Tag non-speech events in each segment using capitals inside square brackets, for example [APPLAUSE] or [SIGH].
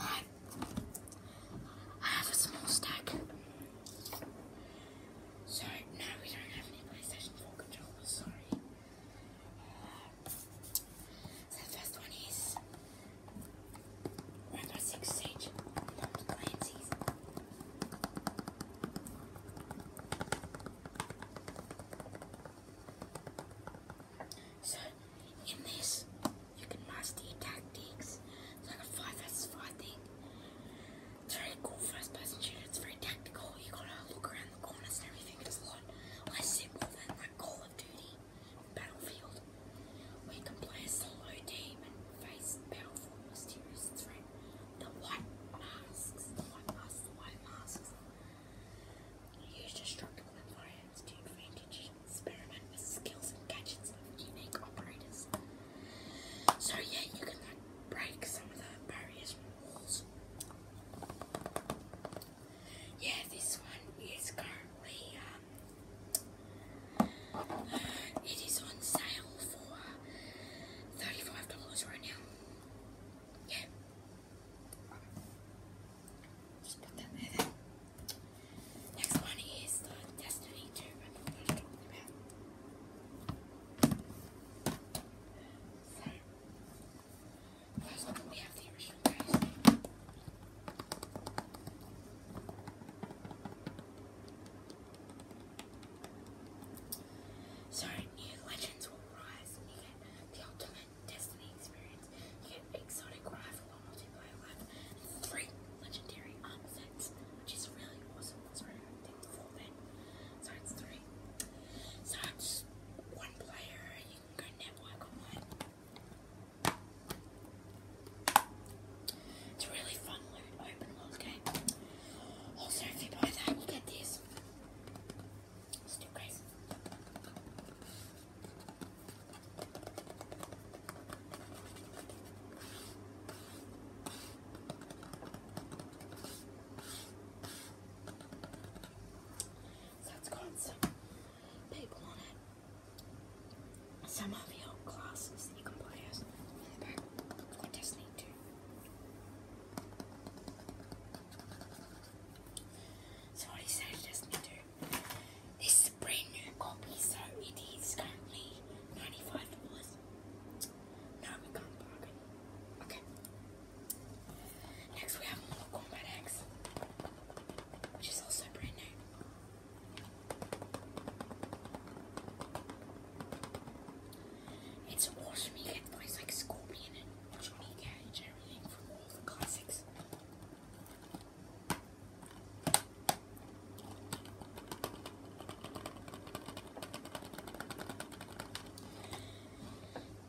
I, have a small stack. So, no, we don't have any PlayStation 4 controllers, sorry. Uh, the first one is Rainbow Six Siege. Clancy's. So, in this, you can master tactics. It's like a 5 versus 5 thing. It's very cool first person shooter. It's very tactical. You gotta look around the corners and everything. It's a lot less simple than like Call of Duty Battlefield. Where can play a solo team and face powerful mysterious threat. The white masks. The white masks. The white masks. Use destructible environments to advantage and experiment with skills and gadgets of unique operators. So yeah, you can like break some of the barriers and walls. Yeah, this one is currently um, it is on sale for uh, $35 right now. Just Next one is the Destiny 2. what I'm talking about. So, first of we have the original case. So, new legends will rise and you get the ultimate Destiny experience. You get exotic rifle or multiplayer life three legendary arm sets, which is really awesome. That's really I think four then. So it's three. So it's one player, you can go network online. It's really fun loot open world game. Also if you buy that you get this. Let's do people on it. Some of your classes you can play as in the back. It's got so what he said just me this is a brand new copy, so it is currently ninety-five dollars. No, we can't bargain. Okay. Next we have Mortal Kombat X, which is also brand new. It's a Walsh meathead voice like Scorpion and Johnny everything from all the classics.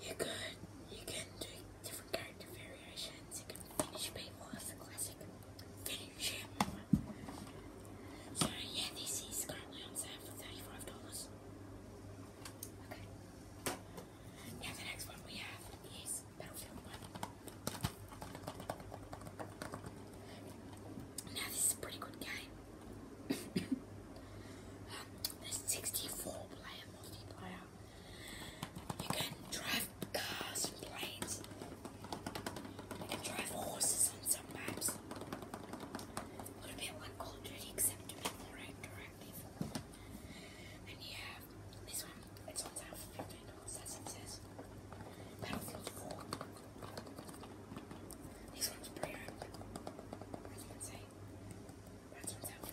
You could, you can do different character variations, you can finish people, that's the classic. Finish him. So yeah, this is currently on sale for $35. Okay. Now the next one we have is Battlefield 1. Now this is a pretty good game. um, [COUGHS] 64 player multiplayer. You can drive cars and planes. You can drive horses on some little bit like cold ready except to make the right And you have this one, it's on sale for $15, that's it says. Battlefield This one's pretty That's what I'm That's what's out for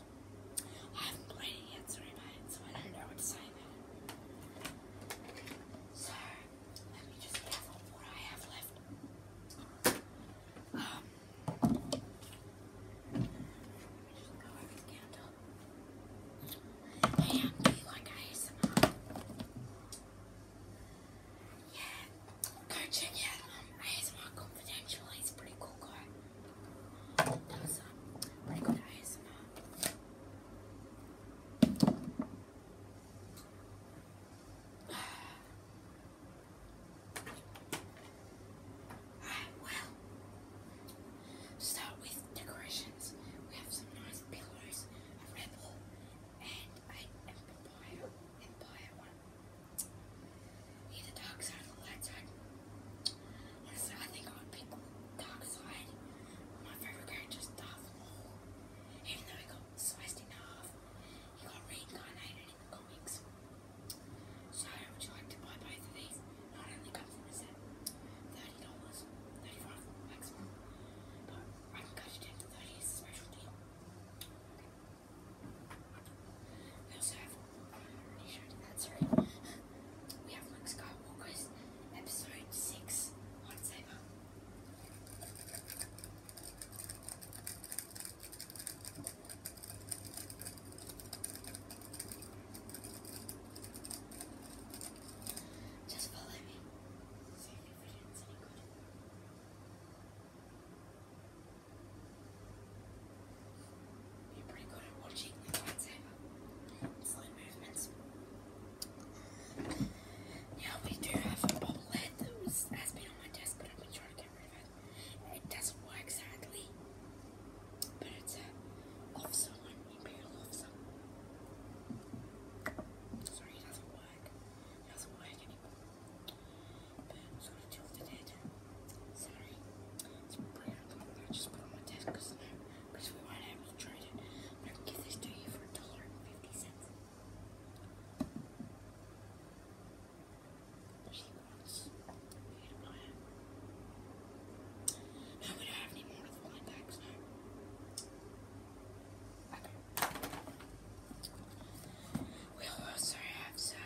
I haven't played it yet, sorry about it, so I don't know what to say So, let me just gather what I have left. Um, let me just go over the counter. Hey, do you like ASMR? Yeah, go check out um, ASMR Confidential, he's pretty cool guy. That was Alright, well, start with decorations. We have some nice pillows, a red and an empire, empire one be the dark side or the light side. so I think I would pick dark side. My favorite character Darth Even though he got sliced in half, he got reincarnated in the comics. So would you like to buy both of these? Not only come from a set thirty dollars, thirty five maximum, but I can cut it down to thirty as a special deal. also that's right. We have Luke Skywalker's episode 6 lightsaber. Just follow me you we do have a bobblehead that was, has been on my desk, but I've been trying to get rid of it. It doesn't work sadly, but it's an officer, an imperial officer. Sorry, it doesn't work. doesn't work Sorry. It's pretty hard I just put on my desk we might have to try it. I'm going to give this to you for a cents. She wants me to Now we don't have any more of the blind bags Okay. We also have some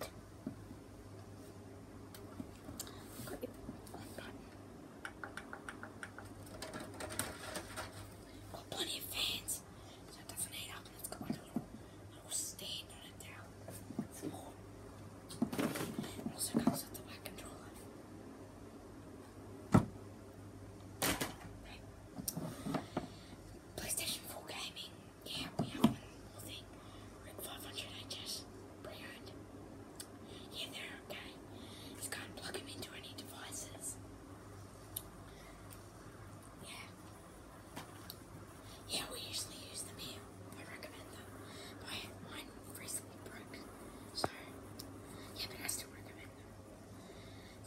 Got plenty of fans, so it doesn't heat up. It's got like a little, little stand on it now. It's more. also comes with the back controller. PlayStation 4 gaming yeah, we have one little thing. Rip 500, I just pre Yeah, they okay. Just can't plug them into any devices. Yeah. Yeah, we usually use them here. I recommend them. But I, mine recently broke. So, yeah, but I still recommend them.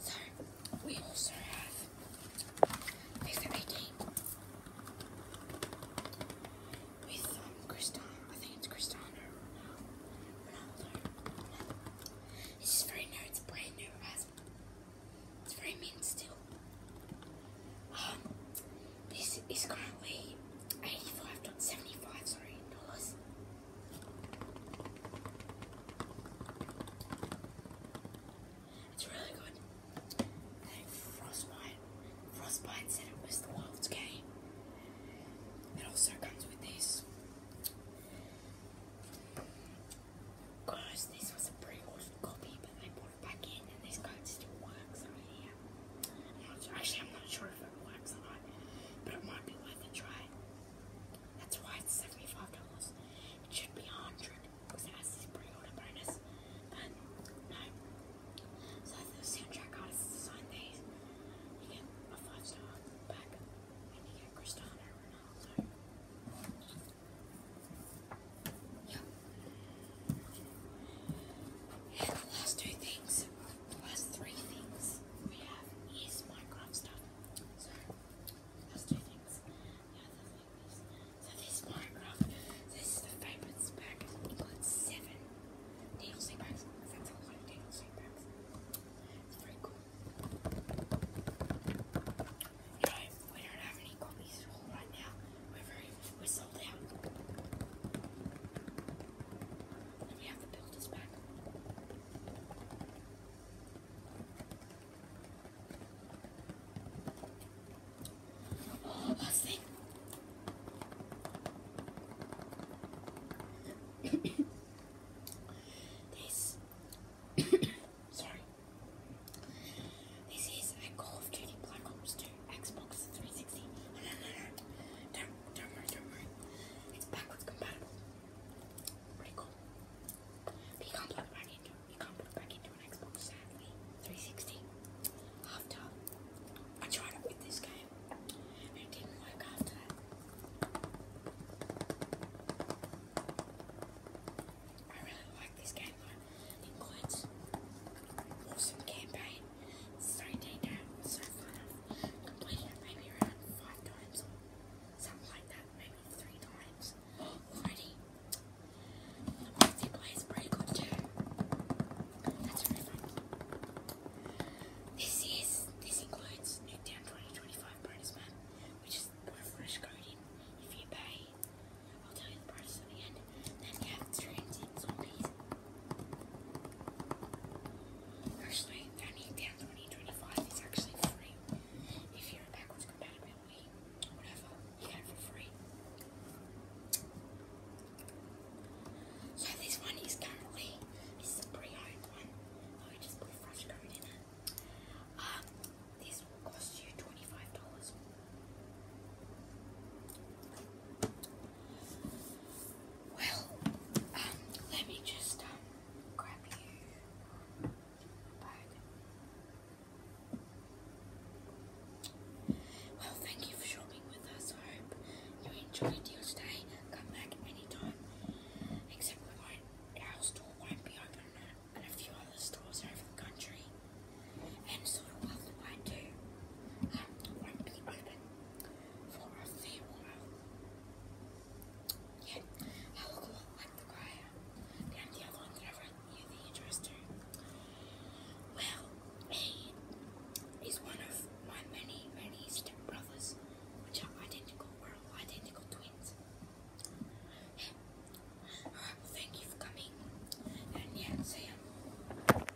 So, we also have FIFA 18 with um, Cristiano, I think it's Cristiano Ronaldo. It's very new, it's brand new, it's very mint still. Um, this is currently 85.75, sorry, dollars. It's really good. Frostbite, Frostbite said it was the world's game. It also comes with these. Guys, this was a pretty awesome copy, but they brought it back in, and this code still works over here. actually, I'm not sure if it works or not, but it might be worth a try. That's why it's seventy-five dollars. It should be a hundred because it has this pre-order bonus. But no. So the soundtrack artist designed these. get a five-star pack, and get Cristiano Ronaldo. Yep. last two things, last three things we have is Minecraft stuff. So those two things. so this monograph, this is the favorite that's a lot of DLC we don't have any copies at now. We're very, we out. And we have the builders back. Oh, last this [COUGHS] sorry. This is a Call of Duty Black Ops 2 Xbox 360. No, [LAUGHS] no, no, no. Don't, don't worry, don't It's backwards compatible. Pretty cool. you can't put it back into you can't plug it back into an Xbox sadly. 360. After I tried it with this game it didn't work after that. I really like this game though. It includes awesome campaign. so detailed, so fun completed maybe around five times something like that, maybe three times already. The multiplayer is pretty good too. That's really fun. This is this includes Nuketown 2025 bonus map, which is refresh coding. If you pay, I'll tell you the price at the end. Then you have Transient Zombies, Actually, 2025 is actually free. If you're a backwards compatibility, whatever, you for free. So this one is currently, this pre-owned one. Oh, I just put fresh code in it. Um, this will cost you $25. Well, um, let me just um, grab you Well, thank you for shopping with us. I hope you enjoyed your stay. Come back anytime. Except we will our store won't be open and a few other stores over the country. And sort of worldwide too. Um, won't be open for a Yet, I look a lot the crier. Damn the other one that I wrote you the address Well, he is one of my many, many stepbrothers, which are identical, we identical twins. thank you for coming. And yeah, see ya.